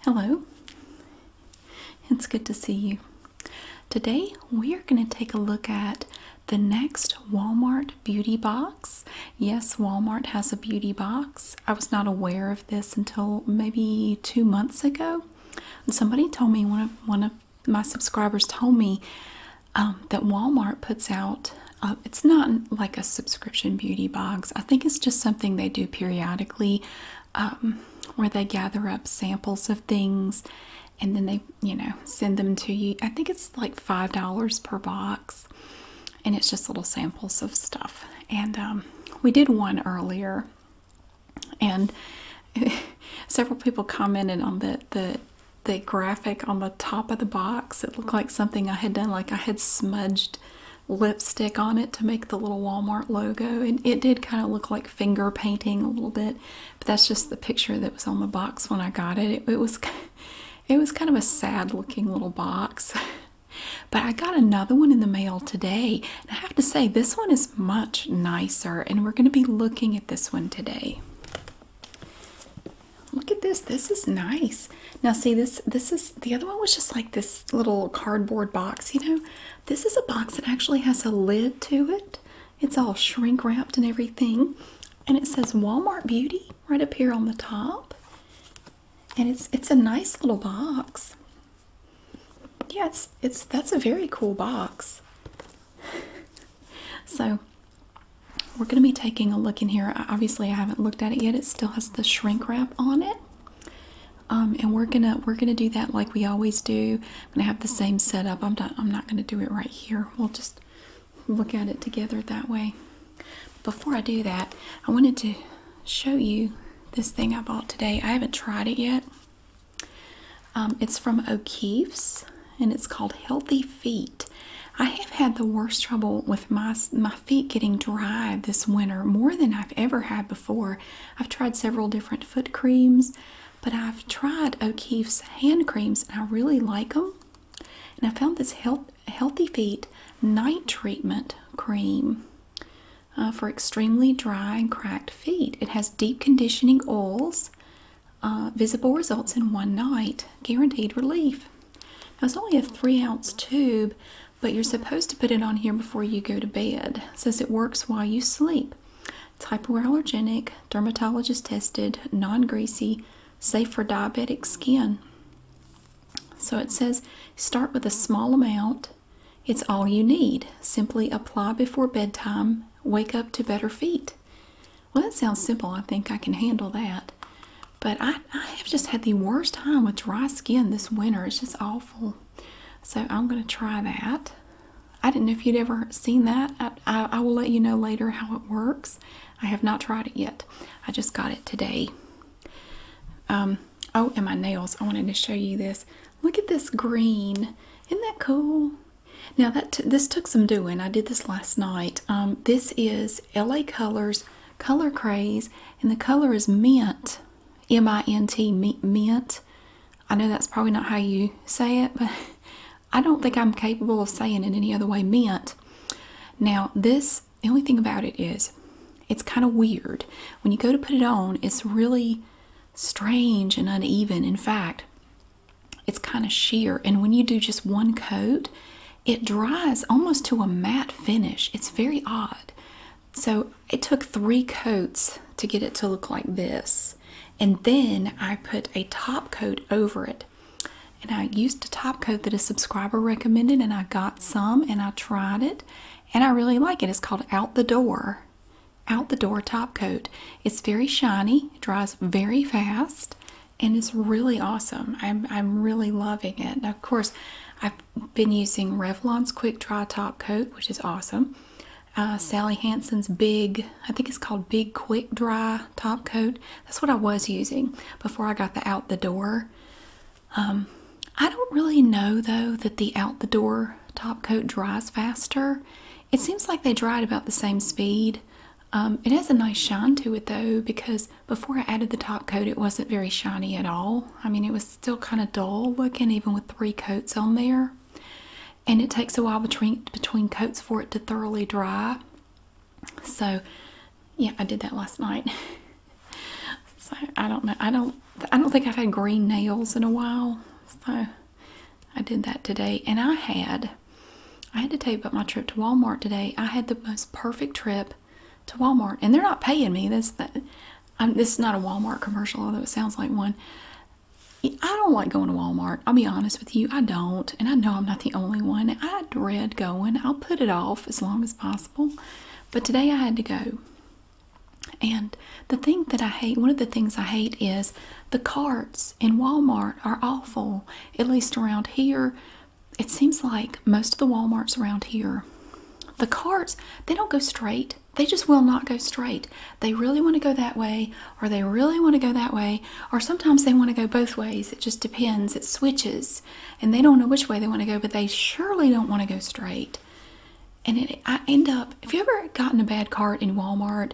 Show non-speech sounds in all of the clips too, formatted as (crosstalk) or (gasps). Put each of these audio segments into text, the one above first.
Hello, it's good to see you. Today we are going to take a look at the next Walmart beauty box. Yes, Walmart has a beauty box. I was not aware of this until maybe two months ago. somebody told me, one of, one of my subscribers told me um, that Walmart puts out, uh, it's not like a subscription beauty box. I think it's just something they do periodically um, where they gather up samples of things and then they, you know, send them to you. I think it's like $5 per box and it's just little samples of stuff. And um, we did one earlier and (laughs) several people commented on the, the graphic on the top of the box. It looked like something I had done, like I had smudged lipstick on it to make the little Walmart logo. And it did kind of look like finger painting a little bit, but that's just the picture that was on the box when I got it. It, was (laughs) it was kind of a sad looking little box. (laughs) But I got another one in the mail today. And I have to say, this one is much nicer, and we're going to be looking at this one today. Look at this. This is nice. Now, see this. This is the other one was just like this little cardboard box. You know, this is a box that actually has a lid to it. It's all shrink wrapped and everything. And it says Walmart Beauty right up here on the top. And it's it's a nice little box. Yeah, it's that's a very cool box. (laughs) so we're going to be taking a look in here. Obviously, I haven't looked at it yet. It still has the shrink wrap on it. Um, and we're gonna we're gonna do that like we always do. I'm gonna have the same setup. I'm not I'm not gonna do it right here. We'll just look at it together that way. Before I do that, I wanted to show you this thing I bought today. I haven't tried it yet. Um, it's from O'Keefe's, and it's called Healthy Feet. I have had the worst trouble with my my feet getting dry this winter more than I've ever had before. I've tried several different foot creams, but I've tried O'Keefe's hand creams and I really like them. And I found this health, Healthy Feet Night Treatment Cream uh, for extremely dry and cracked feet. It has deep conditioning oils, uh, visible results in one night, guaranteed relief. it's only a three ounce tube, but you're supposed to put it on here before you go to bed. It says it works while you sleep. It's hypoallergenic, dermatologist tested, non greasy, safe for diabetic skin. So it says start with a small amount. It's all you need. Simply apply before bedtime, wake up to better feet. Well, that sounds simple. I think I can handle that. But I, I have just had the worst time with dry skin this winter. It's just awful. So I'm going to try that. I didn't know if you'd ever seen that. I, will let you know later how it works. I have not tried it yet. I just got it today. Um, oh, and my nails. I wanted to show you this. Look at this green. Isn't that cool? Now that this took some doing. I did this last night. Um, this is LA Colors Color Craze, and the color is mint. M-I-N-T, mint. I know that's probably not how you say it, but (laughs) I don't think I'm capable of saying it any other way, mint. Now, this, the only thing about it is, it's kind of weird. When you go to put it on, it's really strange and uneven. In fact, it's kind of sheer. And when you do just one coat, it dries almost to a matte finish. It's very odd. So it took three coats to get it to look like this. And then I put a top coat over it. And I used a top coat that a subscriber recommended, and I got some and I tried it. And I really like it. It's called Out the Door. Out the Door Top Coat. It's very shiny, dries very fast, and it's really awesome. I'm, I'm really loving it. And of course, I been using Revlon's Quick Dry Top Coat, which is awesome. Uh, Sally Hansen's Big, I think it's called Big Quick Dry Top Coat. That's what I was using before I got the Out the Door. Um, I don't really know though that the Out the Door top coat dries faster. It seems like they dried about the same speed. Um, it has a nice shine to it though because before I added the top coat it wasn't very shiny at all. I mean it was still kind of dull looking even with three coats on there and it takes a while between between coats for it to thoroughly dry so yeah i did that last night (laughs) so i don't know i don't i don't think i've had green nails in a while so i did that today and i had i had to tell up my trip to walmart today i had the most perfect trip to Walmart, and they're not paying me. This this is not a Walmart commercial, although it sounds like one. I don't like going to Walmart. I'll be honest with you, I don't, and I know I'm not the only one. I dread going. I'll put it off as long as possible, but today I had to go. And the thing that I hate, one of the things I hate is the carts in Walmart are awful. At least around here, it seems like most of the Walmarts around here the carts they don't go straight they just will not go straight they really want to go that way or they really want to go that way or sometimes they want to go both ways it just depends it switches and they don't know which way they want to go but they surely don't want to go straight and i end up if you ever gotten a bad cart in walmart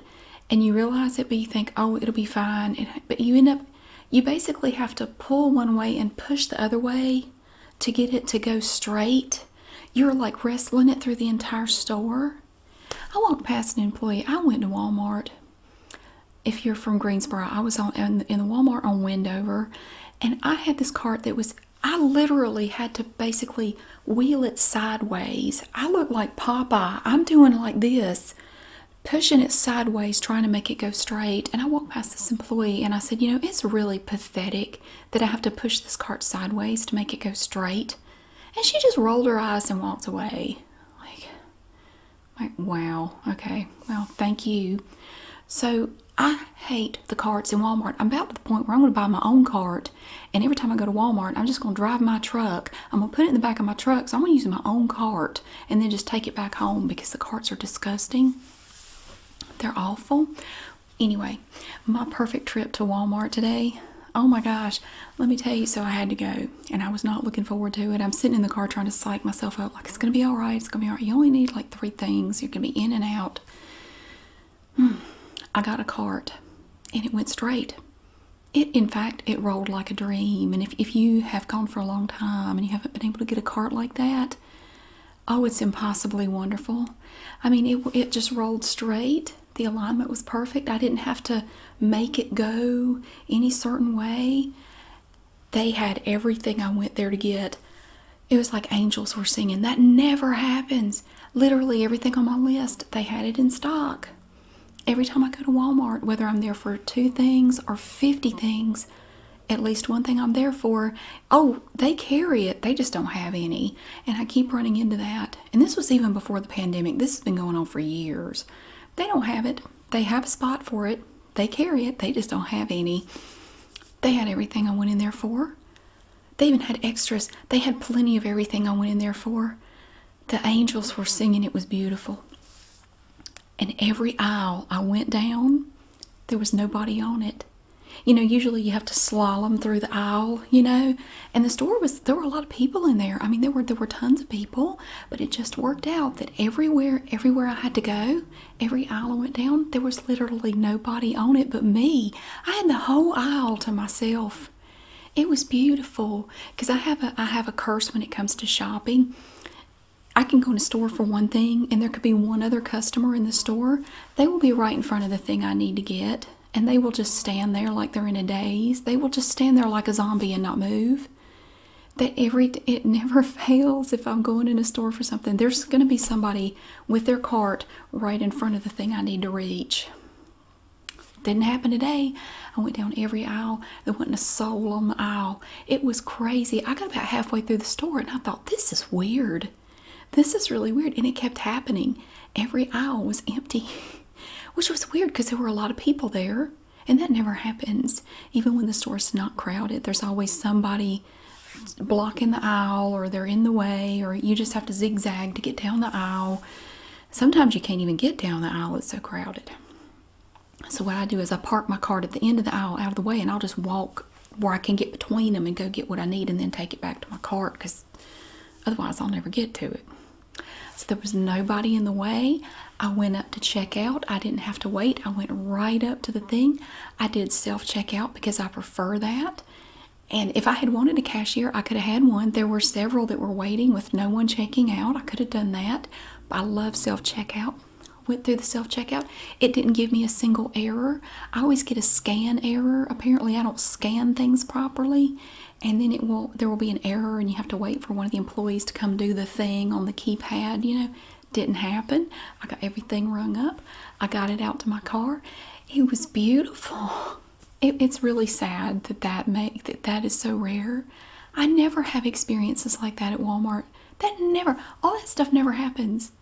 and you realize it but you think oh it'll be fine but you end up you basically have to pull one way and push the other way to get it to go straight, you're like wrestling it through the entire store. I walked past an employee. I went to Walmart. If you're from Greensboro, I was on in, the Walmart on Wendover, and I had this cart that was. I literally had to basically wheel it sideways. I look like Popeye. I'm doing like this, pushing it sideways, trying to make it go straight. And I walked past this employee and I said, You know, it's really pathetic that I have to push this cart sideways to make it go straight. And she just rolled her eyes and walked away. Like, like wow, okay, well, thank you. So I hate the carts in Walmart. I'm about to the point where I'm going to buy my own cart, and every time I go to Walmart, I'm just going to drive my truck. I'm going to put it in the back of my truck, so I'm going to use my own cart and then just take it back home because the carts are disgusting. They're awful anyway, my perfect trip to Walmart today. Oh my gosh, let me tell you. So, I had to go and I was not looking forward to it. I'm sitting in the car trying to psych myself up like it's gonna be all right, it's gonna be all right. You only need like three things, you're gonna be in and out. Hmm, I got a cart and it went straight. It, in fact, it rolled like a dream. And if, if you have gone for a long time and you haven't been able to get a cart like that, Oh, it's impossibly wonderful. I mean, it, it just rolled straight. The alignment was perfect. I didn't have to make it go any certain way. They had everything I went there to get. It was like angels were singing. That never happens. Literally everything on my list, they had it in stock. Every time I go to Walmart, whether I'm there for two things or 50 things, at least one thing I'm there for. Oh, they carry it, they just don't have any. And I keep running into that. And this was even before the pandemic, this has been going on for years. They don't have it, they have a spot for it, they carry it, they just don't have any. They had everything I went in there for. They even had extras, they had plenty of everything I went in there for. The angels were singing, it was beautiful. And every aisle I went down, there was nobody on it. You know, usually you have to slalom through the aisle, you know, and the store was there were a lot of people in there. I mean, there were there were tons of people, but it just worked out that everywhere everywhere I had to go, every aisle I went down, there was literally nobody on it but me. I had the whole aisle to myself. It was beautiful because I have a I have a curse when it comes to shopping. I can go to a store for one thing and there could be one other customer in the store they will be right in front of the thing I need to get, and they will just stand there like they're in a daze. They will just stand there like a zombie and not move. That every it never (laughs) fails if I'm going in a store for something. There's going to be somebody with their cart right in front of the thing I need to reach. Didn't happen today. I went down every aisle. There wasn't a soul on the aisle. It was crazy. I got about halfway through the store and I thought, this is weird. This is really weird. And it kept happening. Every aisle was empty, (laughs) which was weird because there were a lot of people there. And that never happens. Even when the store's not crowded, there's always somebody blocking the aisle or they're in the way or you just have to zigzag to get down the aisle. Sometimes you can't even get down the aisle, it's so crowded. So, what I do is I park my cart at the end of the aisle out of the way and I'll just walk where I can get between them and go get what I need and then take it back to my cart because otherwise I'll never get to it. So there was nobody in the way. I went up to check out. I didn't have to wait. I went right up to the thing. I did self checkout because I prefer that. And if I had wanted a cashier, I could have had one. There were several that were waiting with no one checking out. I could have done that. But I love self checkout. Went through the self checkout. It didn't give me a single error. I always get a scan error. Apparently, I don't scan things properly, and then it will there will be an error, and you have to wait for one of the employees to come do the thing on the keypad. You know, didn't happen. I got everything rung up. I got it out to my car. It was beautiful. it's really sad that that make that that is so rare. I never have experiences like that at Walmart. That never all that stuff never happens.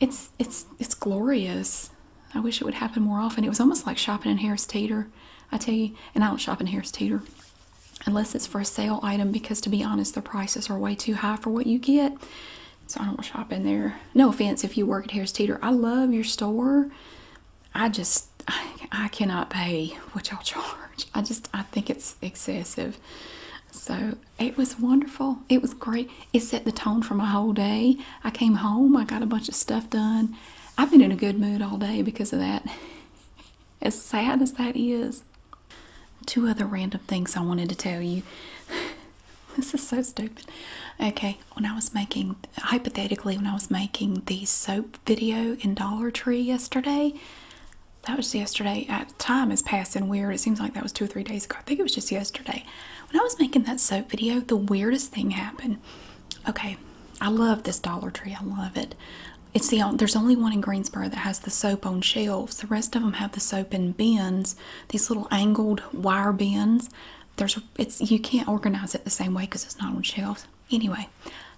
It's it's it's glorious. I wish it would happen more often. It was almost like shopping in Harris Teeter, I tell you. And I don't shop in Harris Teeter unless it's for a sale item because to be honest, the prices are way too high for what you get. So I don't shop in there. No offense if you work at Harris Teeter. I love your store. I just I, I cannot pay what y'all (laughs) charge. I just I think it's excessive. So it was wonderful. It was great. It set the tone for my whole day. I came home, I got a bunch of stuff done. I've been in a good mood all day because of that. (laughs) As sad as that is. Two other random things I wanted to tell you. (laughs) this is so stupid. Okay, when I was making, hypothetically, when I was making the soap video in Dollar Tree yesterday, that was yesterday. Uh, time is passing weird. It seems like that was two or three days ago. I think it was just yesterday. When I was making that soap video, the weirdest thing happened. Okay, I love this Dollar Tree. I love it. It's the there's only one in Greensboro that has the soap on shelves. The rest of them have the soap in bins, these little angled wire bins. There's it's you can't organize it the same way because it's not on shelves. Anyway,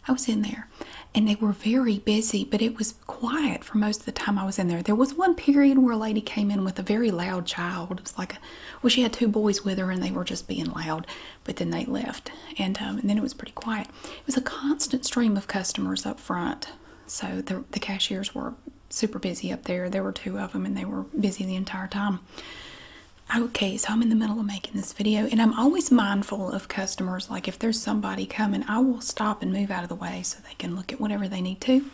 I was in there, and they were very busy, but it was quiet for most the time I was in there. There was one period where a lady came in with a very loud child. It was like, a, well, she had two boys with her and they were just being loud, but then they left. And, um, and then it was pretty quiet. It was a constant stream of customers up front. So the, the cashiers were super busy up there. There were two of them and they were busy the entire time. Okay, so I'm in the middle of making this video and I'm always mindful of customers. Like if there's somebody coming, I will stop and move out of the way so they can look at whatever they need to.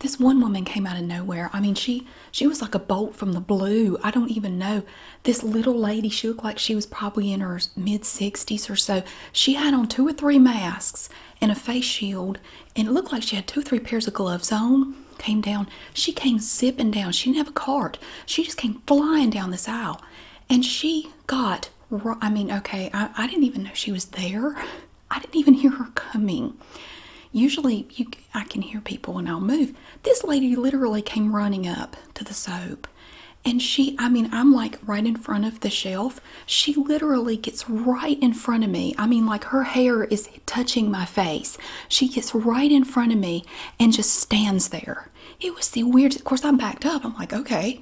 This one woman came out of nowhere. I mean, she she was like a bolt from the blue. I don't even know. This little lady, she looked like she was probably in her mid 60s or so. She had on two or three masks and a face shield, and it looked like she had two or three pairs of gloves on. Came down. She came zipping down. She didn't have a cart. She just came flying down this aisle, and she got. I mean, okay, I, I didn't even know she was there. I didn't even hear her coming. Usually, you, I can hear people when I'll move. This lady literally came running up to the soap. And she, I mean, I'm like right in front of the shelf. She literally gets right in front of me. I mean, like her hair is touching my face. She gets right in front of me and just stands there. It was the weirdest. Of course, I am backed up. I'm like, okay,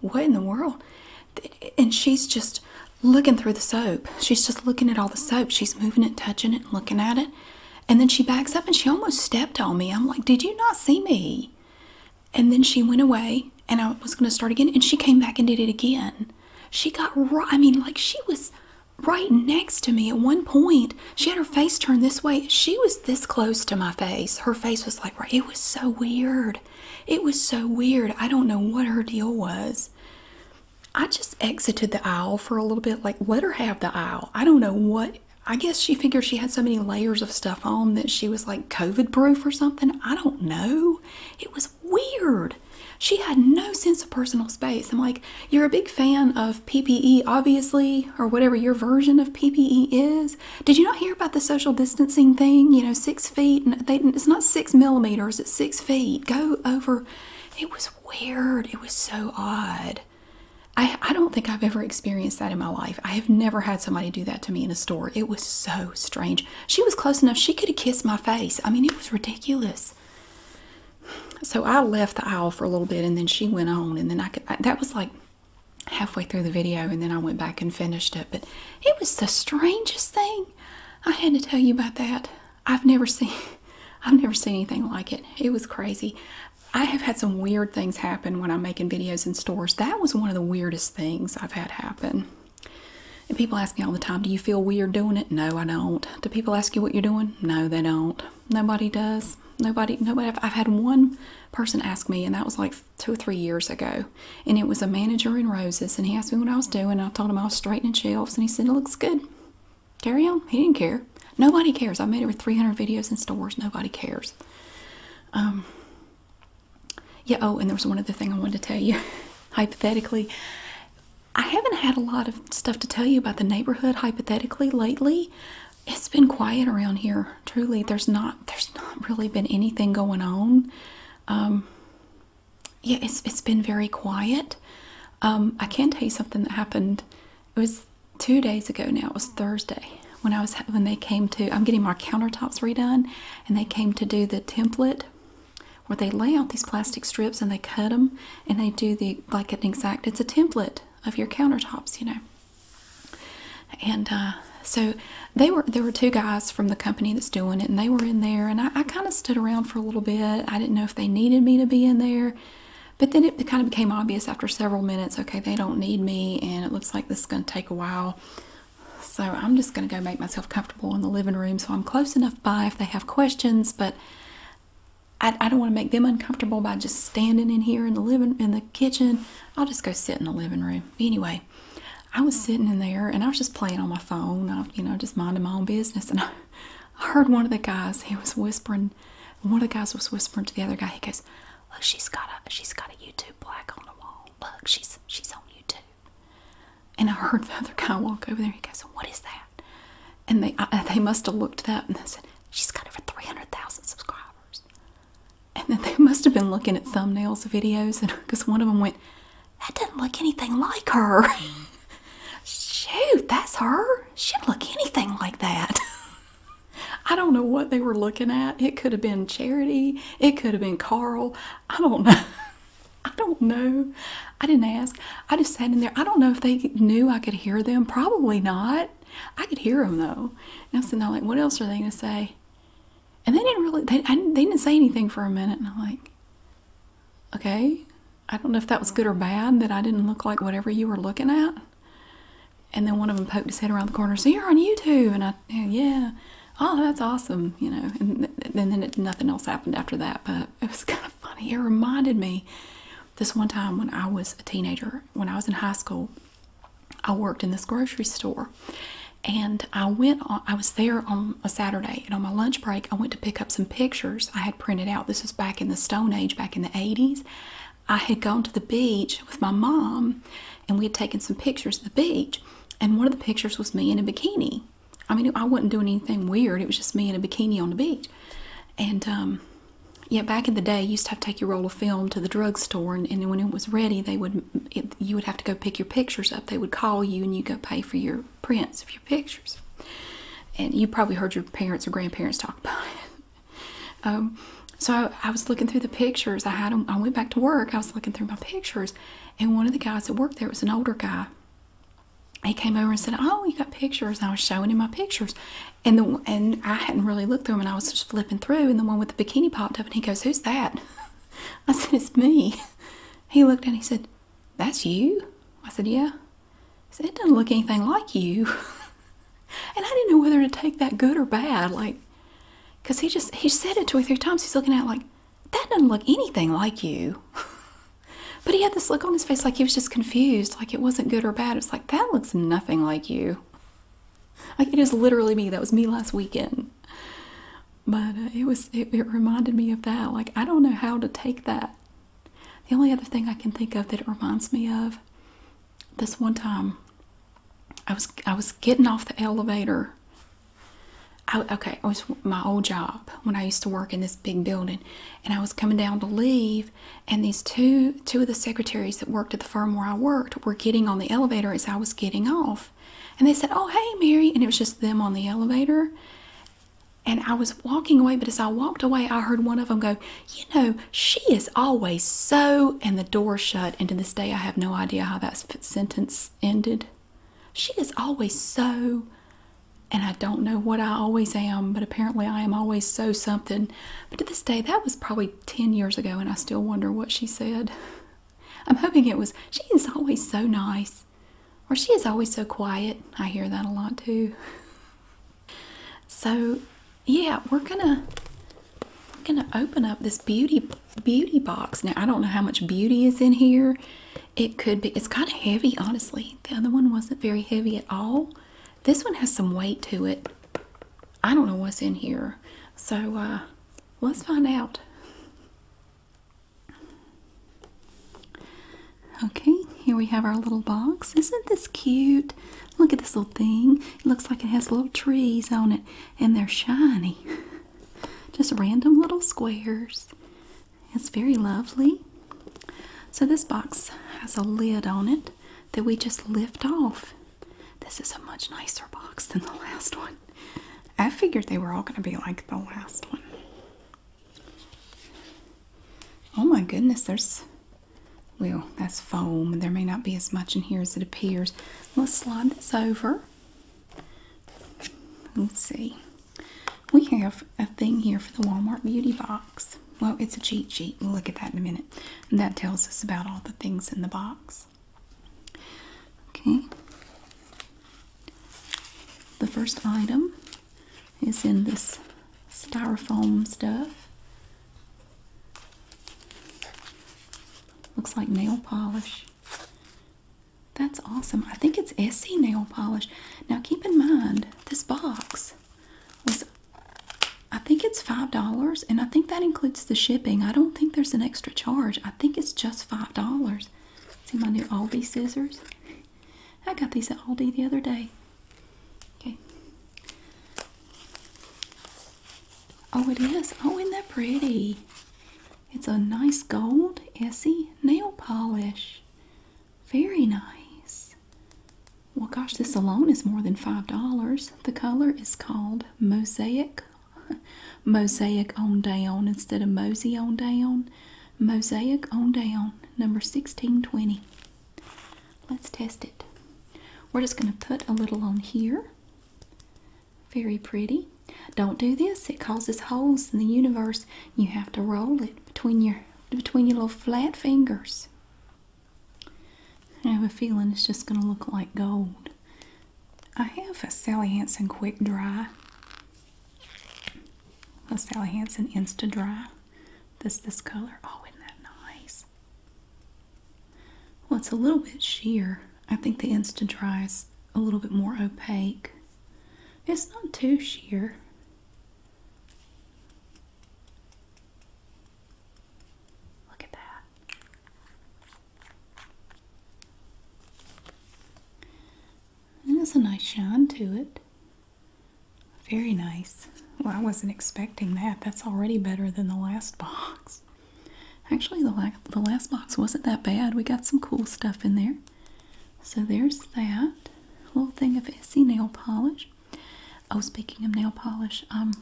what in the world? And she's just looking through the soap. She's just looking at all the soap. She's moving it, touching it, and looking at it. And then she backs up and she almost stepped on me. I'm like, Did you not see me? And then she went away and I was going to start again. And she came back and did it again. She got right, I mean, like she was right next to me at one point. She had her face turned this way. She was this close to my face. Her face was like, right. It was so weird. It was so weird. I don't know what her deal was. I just exited the aisle for a little bit, like, let her have the aisle. I don't know what. I guess she figured she had so many layers of stuff on that she was like COVID proof or something. I don't know. It was weird. She had no sense of personal space. I'm like, you're a big fan of PPE, obviously, or whatever your version of PPE is. Did you not hear about the social distancing thing? You know, six feet, it's not six six millimeters at six feet. Go over. It was weird. It was so odd. I, I don't think I've ever experienced that in my life. I have never had somebody do that to me in a store. It was so strange. She was close enough. She could have kissed my face. I mean, it was ridiculous. So I left the aisle for a little bit and then she went on. And then I could, that was like halfway through the video. And then I went back and finished it. But it was the strangest thing. I had to tell you about that. I've never seen (laughs) I've never seen anything like it. It was crazy. I have had some weird things happen when I'm making videos in stores. That was one of the weirdest things I've had happen. And people ask me all the time, do you feel weird doing it? No, I don't. Do people ask you what you're doing? No, they don't. Nobody does. Nobody, nobody. I've had one person ask me, and that was like two or three years ago and it was a manager in roses. And he asked me what I was doing. I told him I was straightening shelves, and he said it looks good. Carry on. He didn't care. Nobody cares. I made over 300 videos in stores. Nobody cares. Um. Yeah. Oh, and there was one other thing I wanted to tell you. (laughs) hypothetically, I haven't had a lot of stuff to tell you about the neighborhood. Hypothetically, lately, it's been quiet around here. Truly, there's not. There's not really been anything going on. Um, yeah, it's it's been very quiet. Um, I can tell you something that happened. It was two days ago now. It was Thursday when I was when they came to. I'm getting my countertops redone, and they came to do the template where they lay out these plastic strips and they cut them and they do the like an exact. It's a template of your countertops, you know. And uh, so they were there were two guys from the company that's doing it, and they were in there, and I, kind of stood around for a little bit. I didn't know if they needed me to be in there, but then it kind of became obvious after several minutes okay, they don't need me, and it looks like this is going to take a while. So I'm just going to go make myself comfortable in the living room so I'm close enough by if they have questions, but I, I don't want to make them uncomfortable by just standing in here in the living in the kitchen. I'll just go sit in the living room. Anyway, I was sitting in there and I was just playing on my phone, I, uh, you know, just minding my own business. And I, heard one of the guys, he was whispering, one of the guys was whispering to the other guy, he goes, Look, she's got a she's got a YouTube black on the wall. Look, she's she's on YouTube. And I heard the other guy walk over there. He goes, "What is that?" And they they must have looked that, and they said, "She's got over three hundred thousand subscribers." And then they must have been looking at thumbnails of videos, and because (laughs) one of them went, that doesn't look anything like her. Shoot, that's her. She didn't look anything like that. (laughs) I don't know what they were looking at. It could have been Charity. It could have been Carl. I don't know. (laughs) I don't know. I didn't ask. I just sat in there. I don't know if they knew I could hear them. Probably not. I could hear them though. And I'm sitting like, what else are they going to say? and they didn't really they, didn't, they didn't say anything for a minute and i'm like okay i don't know if that was good or bad that i didn't look like whatever you were looking at and then one of them poked his head around the corner so you're on youtube and i yeah oh that's awesome you know and, th and then it, nothing else happened after that but it was (laughs) kind of funny it reminded me this one time when i was a teenager when i was in high school i worked in this grocery store and I went on, I was there on a Saturday and on my lunch break I went to pick up some pictures I had printed out. This was back in the Stone Age, back in the 80s. I had gone to the beach with my mom and we had taken some pictures at the beach and one of the pictures was me in a bikini. I mean, I wasn't doing anything weird. It was just me in a bikini on the beach. And um, yeah, back in the day, you used to have to take your roll of film to the drugstore, and, when it was ready, they would you would have to go pick your pictures up. They would call you, and you go pay for your prints of your pictures. And you probably heard your parents or grandparents talk about it. Um, so I, I was looking through the pictures. I had them, I went back to work. I was looking through my pictures, and one of the guys that worked there was an older guy. He came over and said, "Oh, you got pictures." And I was showing him my pictures, and the and I hadn't really looked through them, and I was just flipping through, and the one with the bikini popped up, and he goes, "Who's that?" (laughs) I said, "It's me." He looked and he said, that's you? I said, Yeah. He said, It doesn't look anything like you. (laughs) and I didn't know whether to take that good or bad. Like, because he just, he said it two or three times. He's looking at like, That doesn't look anything like you. (laughs) but he had this look on his face like he was just confused. Like, it wasn't good or bad. It's like, That looks nothing like you. Like, it is literally me. That was me last weekend. (laughs) but uh, it was it, reminded me of that like i don't know how to take that the only other thing i can think of that it reminds me of this one time i was i was getting off the elevator okay it was my old job when i used to work in this big building and i was coming down to leave and these two two of the secretaries that worked at the firm where i worked were getting on the elevator as i was getting off and they said, Oh, hey, Mary. And it was just them on the elevator. And I was walking away, but as I walked away, I heard one of them go, You know, she is always so. And the door shut. And to this day, I have no idea how that sentence ended. She is always so. And I don't know what I always am, but apparently I am always so something. But to this day, that was probably 10 years ago, and I still wonder what she said. (laughs) I'm hoping it was, she is always so nice. Or she is always so quiet. I hear that a lot too. So, yeah, we're gonna we're gonna open up this beauty beauty box. Now I don't know how much beauty is in here. It could be. It's kind of heavy, honestly. The other one wasn't very heavy at all. This one has some weight to it. I don't know what's in here. So uh, let's find out. Okay, here we have our little box. Isn't this cute? Look at this little thing. It looks like it has little trees on it and they're shiny. (laughs) Just random little squares. It's very lovely. So this box has a lid on it that we just lift off. This is a much nicer box than the (laughs) last one. I figured they were all going to be like the last one. Oh my goodness, there's, well, that's foam. There may not be as much in here as it appears. Let's slide this over. Let's see. We have a thing here for the Walmart Beauty Box. Well, it's a cheat sheet. We'll look at that in a minute. that tells us about all the things in the box. Okay. The first item is in this styrofoam stuff. Looks like nail polish. That's awesome. I think it's Essie nail polish. Now keep in mind, this box was, I think it's $5 and I think that includes the shipping. I don't think there's an extra charge. I think it's just $5. See my new Aldi scissors? I got these at Aldi the other day. Okay. Oh, it is. Oh, isn't that pretty? It's a nice gold Essie nail polish. Very nice. Well, gosh, this alone is more than $5. The color is called Mosaic. (laughs) Mosaic on down instead of mosey on down. Mosaic on down, number 1620. Let's test it. We're just going to put a little on here. Very pretty. Don't do this. It causes holes in the universe. You have to roll it between your between your little flat fingers. I have a feeling it's just going to look like gold. I have a Sally Hansen Quick Dry the Sally Hansen Insta Dry. This this color. Oh, isn't that nice? Well, it's a little bit sheer. I think the Insta Dry is a little bit more opaque. It's not too sheer. Look at that. And there's a nice shine to it. Very nice. Well, I wasn't expecting that. That's already better than the last box. Actually, the, la the last box wasn't that bad. We got some cool stuff in there. So there's that. Little thing of Essie nail polish. Oh, speaking of nail polish, um,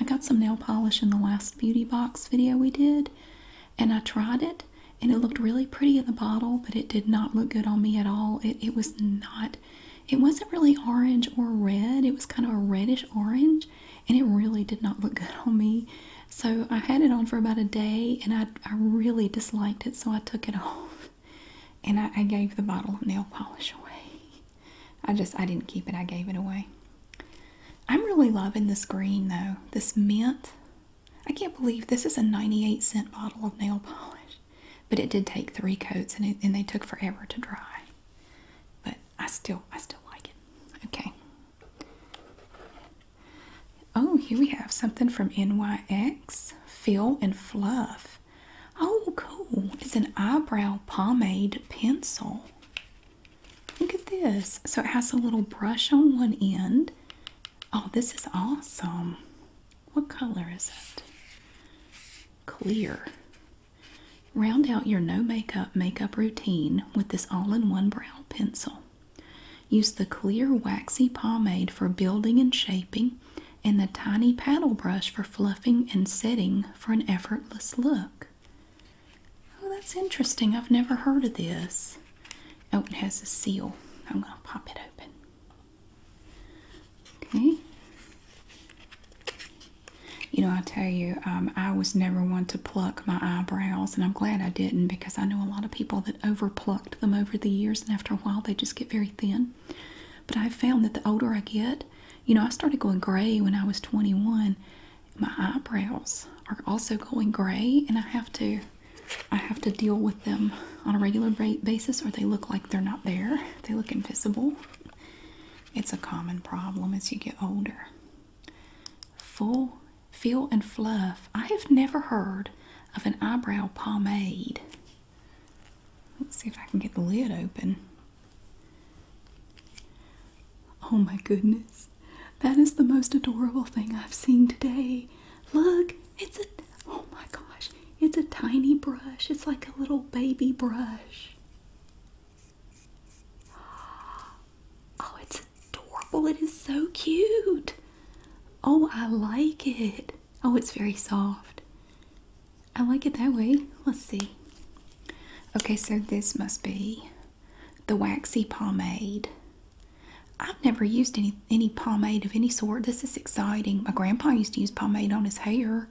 I got some nail polish in the last beauty box video we did, and I tried it, and it looked really pretty in the bottle but it did not look good on me at all it, it was not it wasn't really orange or red it was kind of a reddish orange and it really did not look (laughs) good on me so i had it on for about a day and i, I really disliked it so i took it (laughs) off and I, I gave the bottle of nail polish away i just i didn't keep it i gave it away i'm really loving this green though this mint I can't believe this is a 98 cent bottle of nail polish, but it did take three coats and, they took forever to dry. But I still, I still like it. Okay. Oh, here we have something from NYX, Fill and Fluff. Oh, cool. It's an eyebrow pomade pencil. Look at this. So it has a little brush on one end Oh, this is awesome. What color is it? Clear. Round out your no makeup makeup routine with this all in one brow pencil. Use the clear waxy pomade for building and shaping, and the tiny paddle brush for fluffing and setting for an effortless look. Oh, that's interesting. I've never heard of this. Oh, it has a seal. I'm going to pop it open. Okay. You know, I tell you, um, I was never one to pluck my eyebrows, and I'm glad I didn't because I know a lot of people that overplucked them over the years, and after a while, they just get very thin. But I've found that the older I get, you know, I started going gray when I was 21. My eyebrows are also going gray, and I have to I have to deal with them on a regular basis, or they look like they're not there. They look invisible. It's a common problem as you get older. Full feel and fluff. I have never heard of an eyebrow pomade. Let's see if I can get the lid open. Oh my goodness. That is the most adorable thing I've seen today. Look, it's a oh my gosh, it's a tiny brush. It's like a little baby brush. (gasps) Oh, it's adorable. It is so cute. Oh, I like it. Oh, it's very soft. I like it that way. Let's see. Okay, so this must be the waxy pomade. I've never used any any pomade of any sort. This is exciting. My grandpa used to use pomade on his hair.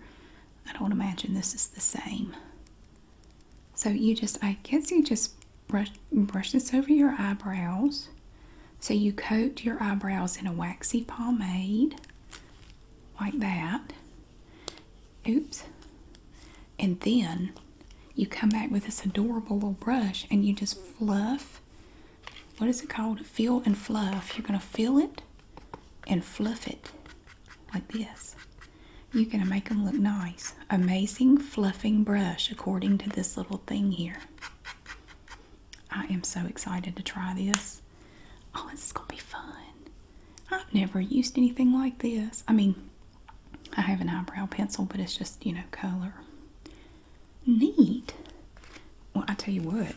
I don't imagine this is the same. So you just, I guess you just brush, brush this over your eyebrows. So you coat your eyebrows in a waxy pomade like that. Oops. And then you come back with this adorable little brush and you just fluff. What is it called? Fill and fluff. You're going to fill it and fluff it like this. You're going to make them look nice. Amazing fluffing brush according to this little thing here. I am so excited to try this. Oh, this is going to be fun. I've never used anything like this. I mean, I have an eyebrow pencil, but it's just, you know, color. Neat. Well, I tell you what.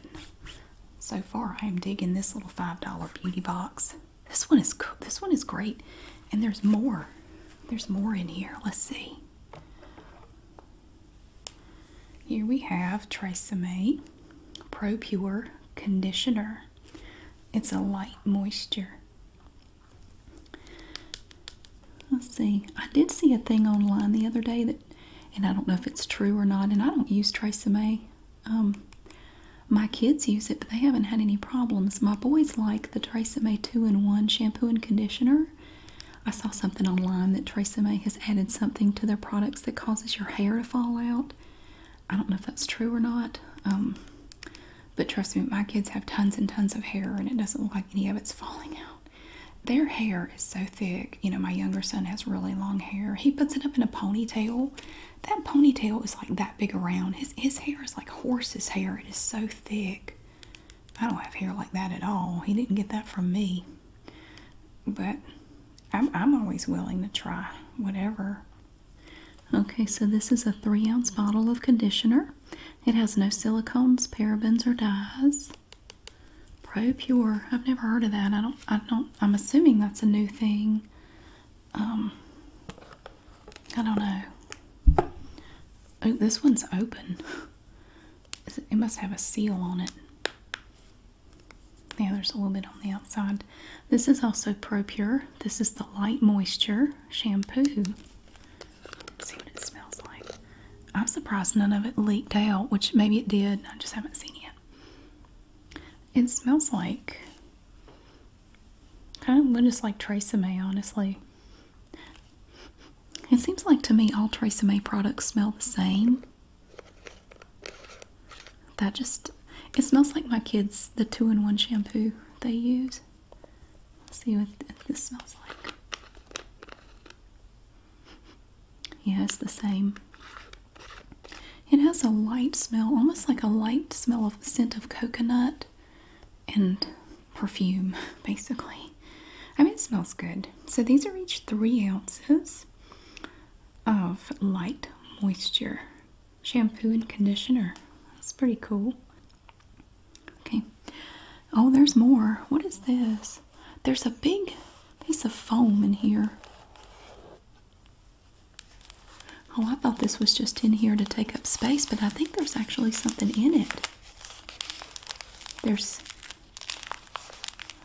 So far, I am digging this little $5 beauty box. This one is This one is great. And there's more. There's more in here. Let's see. Here we have Tresemme Pro Pure Conditioner. It's a light moisture Let's see. I did see a thing online the other day that, and I don't know if it's true or not, and I don't use Tresemme. Um, my kids use it, but they haven't had any problems. My boys like the Tresemme 2-in-1 shampoo and conditioner. I saw something online that Tresemme has added something to their products that causes your hair to fall out. I don't know if that's true or not. Um, but trust me, my kids have tons and tons of hair, and it doesn't look like any of it's falling out. Their hair is so thick. You know, my younger son has really long hair. He puts it up in a ponytail. That ponytail is like that big around. His, his hair is like horse's hair. It is so thick. I don't have hair like that at all. He didn't get that from me. But I'm, I'm always willing to try whatever. Okay, so this is a three ounce bottle of conditioner. It has no silicones, parabens, or dyes. Pro Pure. I've never heard of that. I don't. I don't. I'm assuming that's a new thing. Um. I don't know. Oh, this one's open. It must have a seal on it. Yeah, there's a little bit on the outside. This is also Pro Pure. This is the Light Moisture Shampoo. See what it smells like. I'm surprised none of it leaked out, which maybe it did. I just haven't seen it. It smells like kind of just like Tresemme, honestly. It seems like to me all Tresemme products smell the same. That just it smells like my kids the two in one shampoo they use. Let's see what this smells like. (laughs) Yeah, it's the same. It has a light smell, almost like a light smell of scent of coconut and perfume, (laughs) basically. I mean, it smells good. So these are each three ounces of light moisture shampoo and conditioner. That's pretty cool. Okay. Oh, there's more. What is this? There's a big piece of foam in here. Oh, I thought this was just in here to take up space, but I think there's actually something in it. There's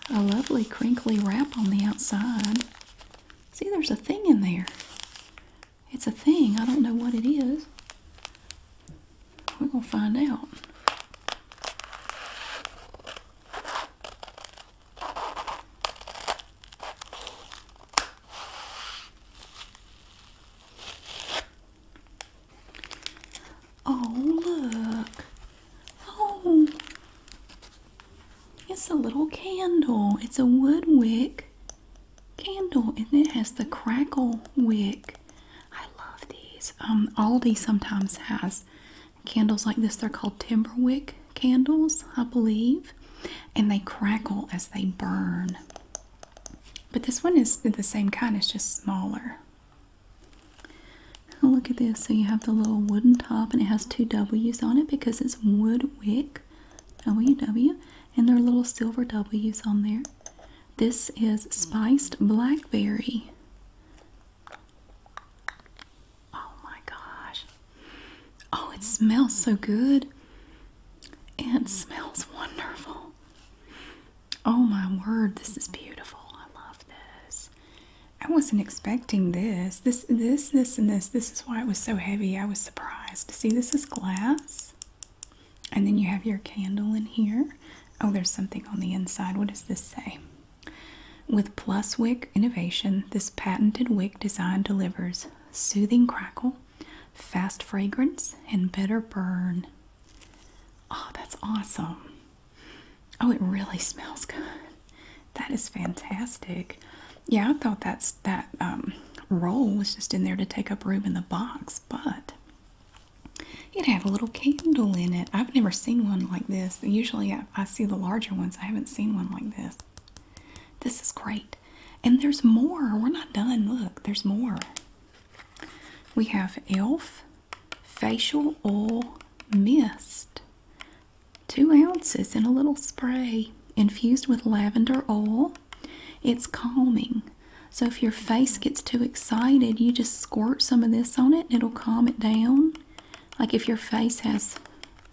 a lovely crinkly wrap on the outside. See, there's a thing in there. It's a thing. I don't know what it is. We're going to find out. Oh, look. Oh, it's a little candle. It's a wood wick candle and it has the crackle wick. I love these. Um, Aldi sometimes has candles like this. They're called Timberwick candles, I believe, and they crackle as they burn. But this one is the same kind, it's just smaller. look at this. So you have the little wooden top, and it has two W's on it because it's wood wick, W W, and there are little silver W's on there. This is spiced blackberry. Oh my gosh. Oh, it smells so good. It smells wonderful. Oh my word, this is beautiful. I love this. I wasn't expecting this. This this this and this. This is why it was so heavy. I was surprised. See, this is glass. And then you have your candle in here. Oh, there's something on the inside. What does this say? With Plus Wick Innovation, this patented wick design delivers soothing crackle, fast fragrance, and better burn. Oh, that's awesome. Oh, it really smells good. That is fantastic. Yeah, I thought that's that um, roll was just in there to take up room in the box, but it had a little candle in it. I've never seen one like this. Usually I, I see the larger ones. I haven't seen one like this. This is great. And there's more. We're not done. Look, there's more. We have e.l.f. Facial Oil Mist. Two ounces in a little spray. Infused with lavender oil. It's calming. So if your face gets too excited, you just squirt some of this on it, it'll calm it down. Like if your face has,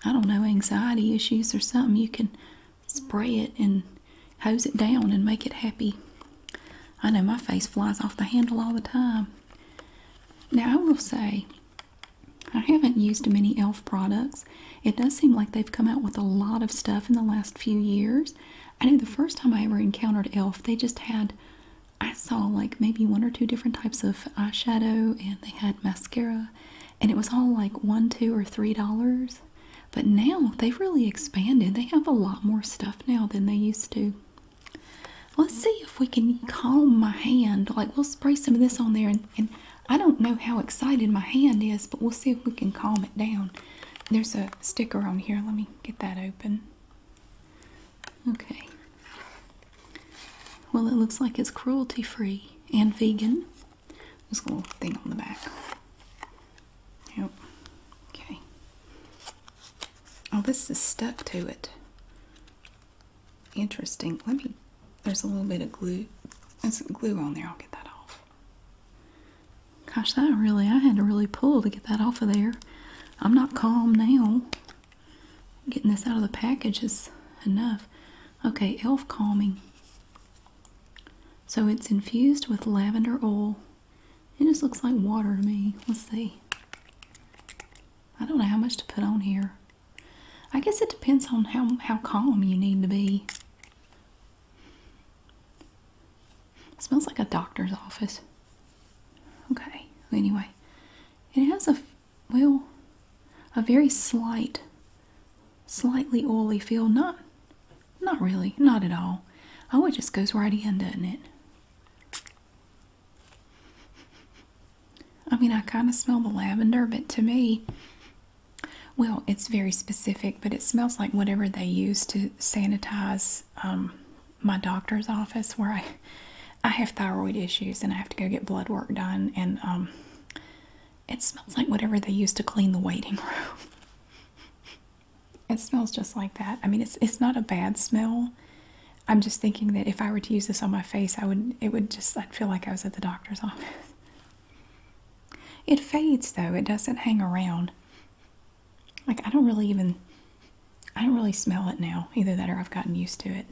I don't know, anxiety issues or something, you can spray it and hose it down and make it happy. I know my face flies off the handle all the time. Now, I will say, I haven't used many e.l.f. products. It does seem like they've come out with a lot of stuff in the last few years. I know the first time I ever encountered Elf, they just had I saw like maybe one or two different types of eyeshadow and they had mascara and it was all like one, two, or three dollars. But now they've really expanded. They have a lot more stuff now than they used to. Let's see if we can calm my hand. Like we'll spray some of this on there and I don't know how excited my hand is, but we'll see if we can calm it down. There's a sticker on here. Let me get that open. Okay. Well, it looks like it's cruelty free and vegan. This little thing on the back. Yep. Okay. Oh, this is stuck to it. Interesting. Let me, there's a little bit of glue. There's glue on there. I'll get that off. Gosh, that really, I had to really pull to get that off of there. I'm not calm now. Getting this out of the package is enough. Okay, e.l.f. Calming. So it's infused with lavender oil. It just looks like water to me. Let's see. I don't know how much to put on here. I guess it depends on how, how calm you need to be smells like a doctor's office. Okay, anyway. It has a, well, a very slight, slightly oily feel. Not, not really, not at all. Oh, it just goes right in, doesn't it? I mean, I kind of smell the lavender, but to me, well, it's very specific, but it smells like whatever they use to sanitize um, my doctor's office where I I have thyroid issues and I have to go get blood work done and um, it smells like whatever they use to clean the waiting (laughs) room. it smells just like that. I mean, it's it's not a bad smell. I'm just thinking that if I were to use this on my face, I would it would just I'd feel like I was at the doctor's (laughs) office. It fades though; it doesn't hang around. Like I don't really even I don't really smell it now. Either that or I've gotten used to it.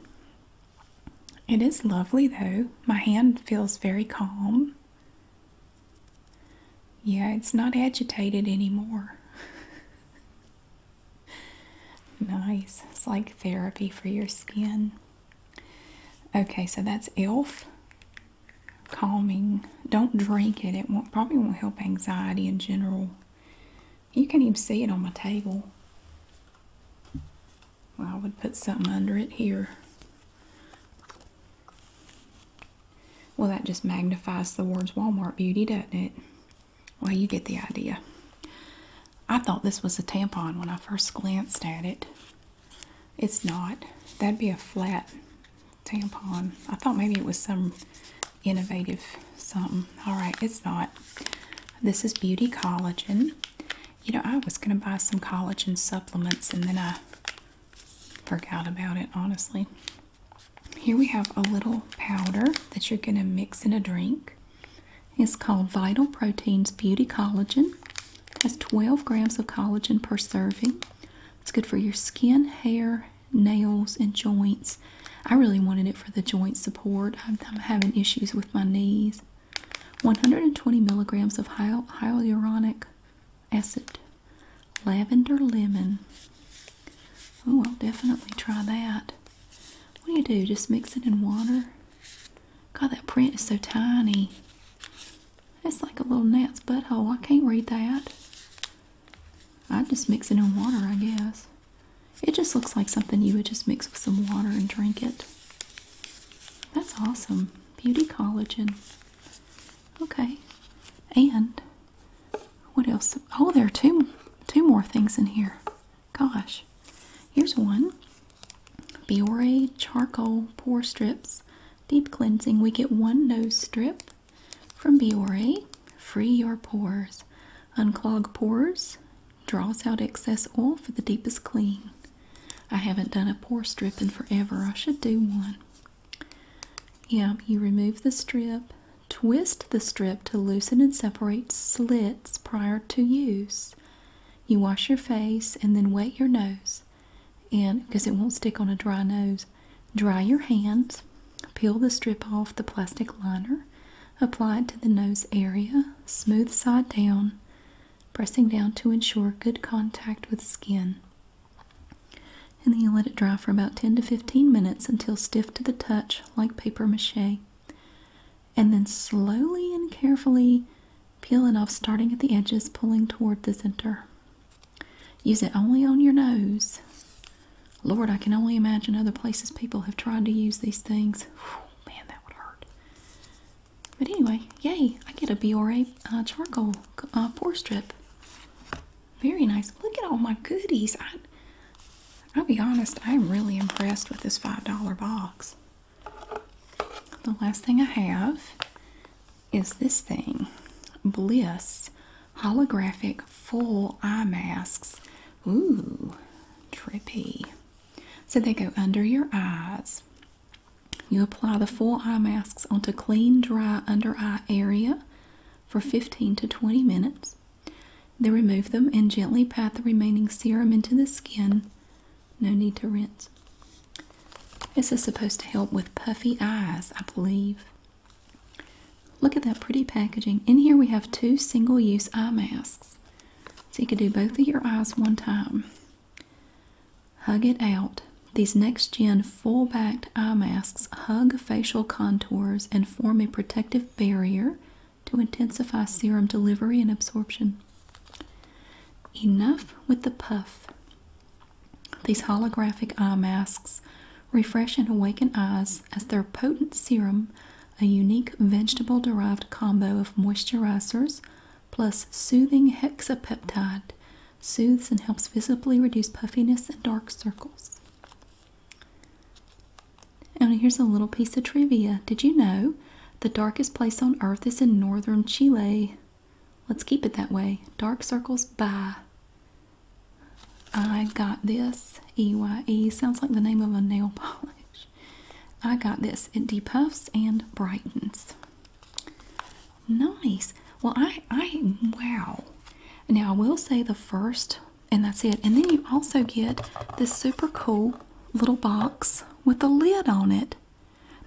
It is lovely though. My hand feels very calm. Yeah, it's not agitated anymore. (laughs) nice. It's like therapy for your skin. Okay, so that's ELF calming. Don't drink it. It probably won't help anxiety in general. You can not even see it on my table. I would put something under it here. Well, that just magnifies the words Walmart Beauty, doesn't it? Well, you get the idea. I thought this was a tampon when I first glanced at it. It's not. That'd be a flat tampon. I thought maybe it was some innovative something. All right, it's not. This is Beauty Collagen. You know, I was going to buy some collagen supplements and then I forgot about it, honestly. Here we have a little powder that you're going to mix in a drink. It's called Vital Proteins Beauty Collagen. has 12 grams of collagen per serving. It's good for your skin, hair, nails and joints. I really wanted it for the joint support. I'm, having issues with my knees. 120 milligrams of hyaluronic acid. Lavender lemon. Oh, I'll definitely try that. What do you do? Just mix it in water? God, that print is so tiny. It's like a little gnat's butthole. I can't read that. I'd just mix it in water, I guess. It just looks like something you would just mix with some water and drink it. That's awesome. Beauty collagen. Okay. And what else? Oh, there are two, two more things in here. Gosh. Here's one. Biore charcoal pore strips. Deep cleansing. We get one nose strip from Biore, free your pores, unclog pores, draws out excess oil for the deepest clean. I haven't done a pore strip in forever. I should do one. Yeah, you remove the strip, twist the strip to loosen and separate slits prior to use. You wash your face and then wet your nose and because it won't stick on a dry nose Dry your hands, peel the strip off the plastic liner, apply it to the nose area, smooth side down, pressing down to ensure good contact with skin. And then you let it dry for about 10 to 15 minutes until stiff to the touch, like paper mache. And then slowly and carefully peel it off, starting at the edges, pulling toward the center. Use it only on your nose. Lord, I can only imagine other places people have tried to use these things. man, that would hurt. But anyway, yay, I get a BRA uh, charcoal uh, pore strip. Very nice. Look at all my goodies. I, I'll be honest, I'm really impressed with this $5 box. The last thing I have is this thing Bliss holographic full eye masks. Ooh, trippy. So they go under your eyes. You apply the full eye masks onto clean, dry under eye area for 15 to 20 minutes. Then remove them and gently pat the remaining serum into the skin. No need to rinse. This is supposed to help with puffy eyes, I believe. Look at that pretty packaging. In here we have two single-use eye masks. So you can do both of your eyes one time. Hug it out. These next-gen full-backed eye masks hug facial contours and form a protective barrier to intensify serum delivery and absorption. Enough with the puff. These holographic eye masks refresh and awaken eyes as their potent serum, a unique vegetable derived combo of moisturizers plus soothing hexapeptide, soothes and helps visibly reduce puffiness and dark circles. And here's a little piece of trivia. Did you know the darkest place on earth is in northern Chile? Let's keep it that way. Dark circles bye. I got this. EYE sounds like the name of a nail (laughs) polish. I got this. It depuffs and brightens. Nice. Well, I, I, wow. Now, I will say the first, and that's it. And then you also get this super cool little box with a lid on it.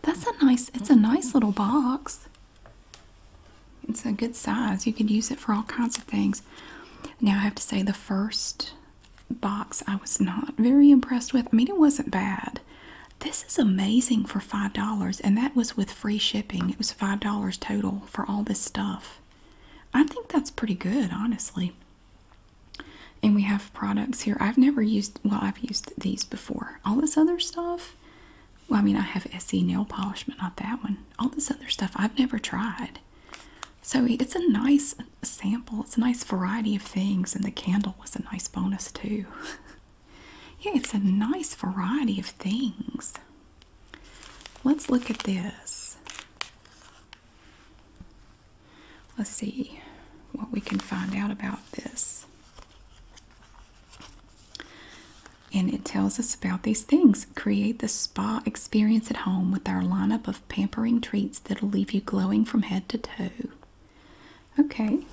That's a nice, it's a nice little box. It's a good size. You could use it for all kinds of things. Now, I have to say, the first box I was not very impressed with. I mean, it wasn't bad. This is amazing for $5, and that was with free shipping. It was $5 total for all this stuff. I think that's pretty good, honestly. And we have products here. I've never used, well, I've used these before. All this other stuff, well, I mean, I have SE nail polish, but not that one. All this other stuff I've never tried. So it's a nice sample. It's a nice variety of things, and the candle was a nice bonus too. (laughs) yeah, it's a nice variety of things. Let's look at this. Let's see what we can find out about this. And it tells us about these things. Create the spa experience at home with our lineup of pampering treats that'll leave you glowing from head to toe. Okay,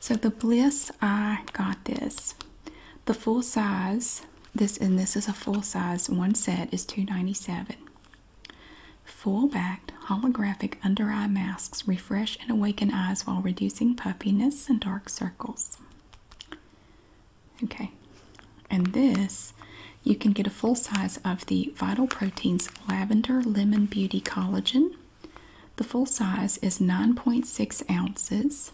so the Bliss, I got this. The full size, this and this is a full size one set, is two Full backed holographic under eye masks refresh and awaken eyes while reducing puffiness and dark circles. Okay, and this you can get a full size of the Vital Proteins Lavender Lemon Beauty Collagen. The full size is 9.6 ounces.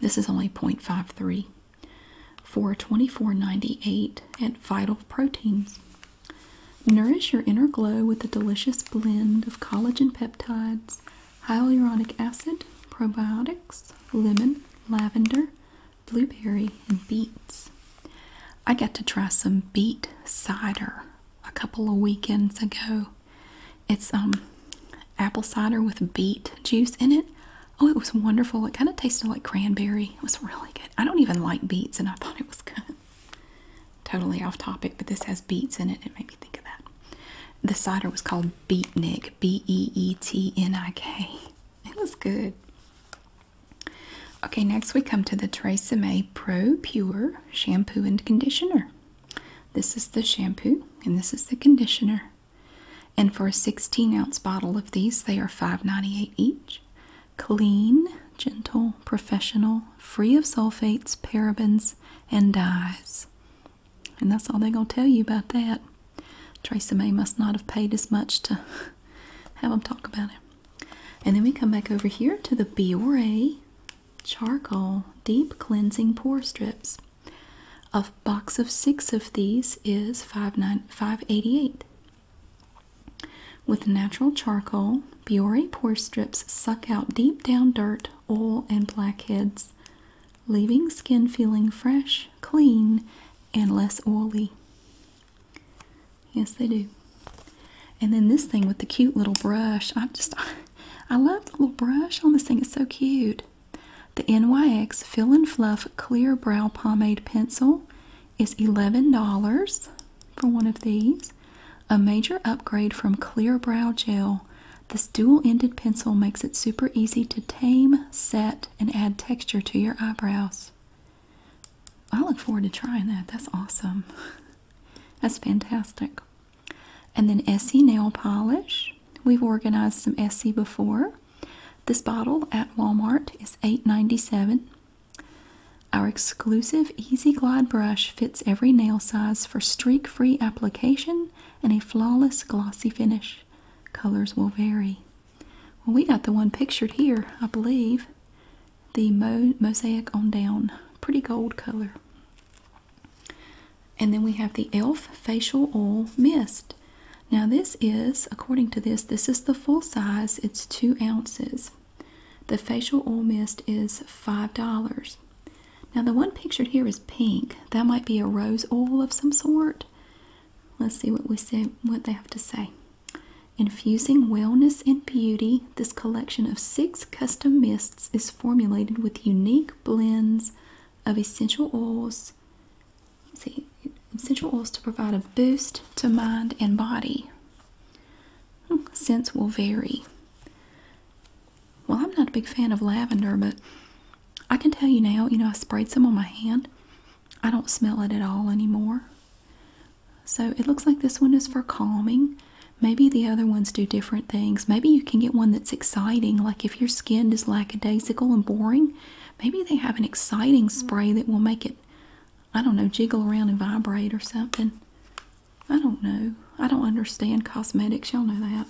This is only 0.53 for twenty four ninety eight at Vital Proteins. Nourish your inner glow with a delicious blend of collagen peptides, hyaluronic acid, probiotics, lemon, lavender, blueberry, and beets. I got to try some beet cider a couple of weekends ago. It's um apple cider with beet juice in it. Oh, it was wonderful. It kind of tasted like cranberry. It was really good. I don't even like beets, and I thought it was good. Totally off topic, but this has beets in it. It made me think of that. The cider was called Beatnik, B E E T N I K. It was good. Okay, next we come to the Tresemme Pro Pure Shampoo and Conditioner. This is the shampoo and this is the conditioner. And for a 16 ounce bottle of these, they are $5.98 each. Clean, gentle, professional, free of sulfates, parabens, and dyes. And that's all they're going to tell you about that. Tracey May must not have paid as much to (laughs) have them talk about it. And then we come back over here to the Biore Charcoal Deep Cleansing Pore Strips. A box of six of these is 5 With natural charcoal, Biore pore strips suck out deep down dirt oil, and blackheads, leaving skin feeling fresh, clean, and less oily. Yes, they do. And then this thing with the cute little brush. i just, (laughs) I love the little brush on this thing. It's so cute. The NYX Fill and Fluff Clear Brow Pomade Pencil is $11 for one of these. A major upgrade from Clear Brow Gel, this dual-ended pencil makes it super easy to tame, set, and add texture to your eyebrows. I look forward to trying that. That's awesome. (laughs) That's fantastic. And then Essie nail polish. We've organized some Essie before. This bottle at Walmart is eight ninety seven. Our exclusive Easy Glide brush fits every nail size for streak-free application and a flawless glossy finish. Colors will vary. Well, we got the one pictured here, I believe. The mo mosaic on down. Pretty gold color. And then we have the e.l.f. Facial Oil Mist. Now this is, according to this, this is the full size. It's two ounces. The facial oil mist is $5. Now, the one pictured here is pink. That might be a rose oil of some sort. Let's see what we say, what they have to say. Infusing wellness and beauty, this collection of six custom mists is formulated with unique blends of essential oils. See, essential oils to provide a boost to mind and body. Hmm, scents will vary. Well, I'm not a big fan of lavender, but I can tell you now, you know, I sprayed some on my hand. I don't smell it at all anymore. So it looks like this one is for calming. Maybe the other ones do different things. Maybe you can get one that's exciting, like if your skin is lackadaisical and boring, maybe they have an exciting spray that will make it, I don't know, jiggle around and vibrate or something. I don't know. I don't understand cosmetics. Y'all know that.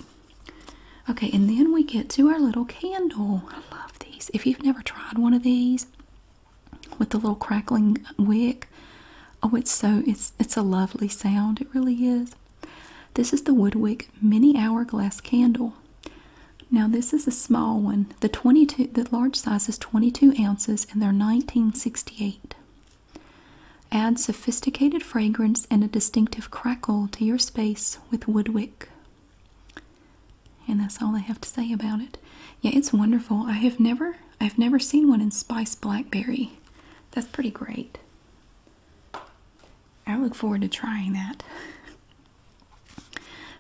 Okay, and then we get to our little candle. I love these. If you've never tried one of these with the little crackling wick, oh, it's so it's it's a lovely sound. It really is. This is the Woodwick Mini Hourglass Candle. Now this is a small one. The 22, the large size is 22 ounces, and they're 1968. Add sophisticated fragrance and a distinctive crackle to your space with woodwick, And that's all I have to say about it. Yeah, it's wonderful. I have never I've never seen one in spice blackberry. That's pretty great. I look forward to trying that. (laughs)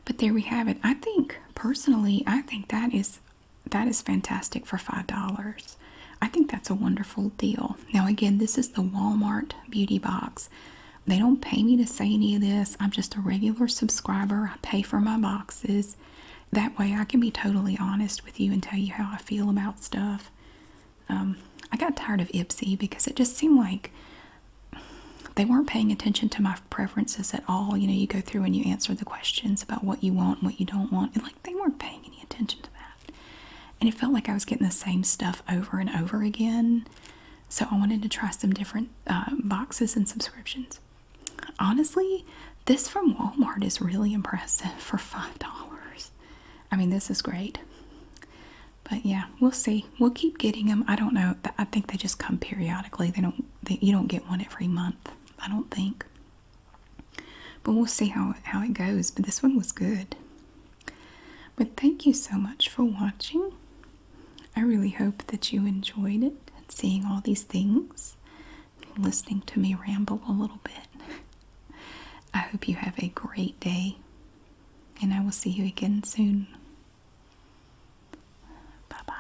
But there we have it. I think personally, I think that is that is fantastic for $5. I think that's a wonderful deal. Now, again, this is the Walmart Beauty Box. They don't pay me to say any of this. I'm just a regular subscriber. I pay for my boxes. That way, I can be totally honest with you and tell you how I feel about stuff. Um, I got tired of Ipsy because it just seemed like they weren't paying attention to my preferences at all. You know, you go through and you answer the questions about what you want what you don't want, and like they weren't paying any attention to that. And it felt like I was getting the same stuff over and over again. So I wanted to try some different uh, boxes and subscriptions. Honestly, this from Walmart is really impressive for $5. I mean, this is great. But yeah, we'll see. We'll keep getting them. I don't know. I think they just come periodically. They don't. you don't get one every month. I don't think. But we'll see how how it goes. But this one was good. But thank you so much for watching. I really hope that you enjoyed it and seeing all these things, listening to me ramble a little bit. I hope you have a great day, and I will see you again soon. Bye bye.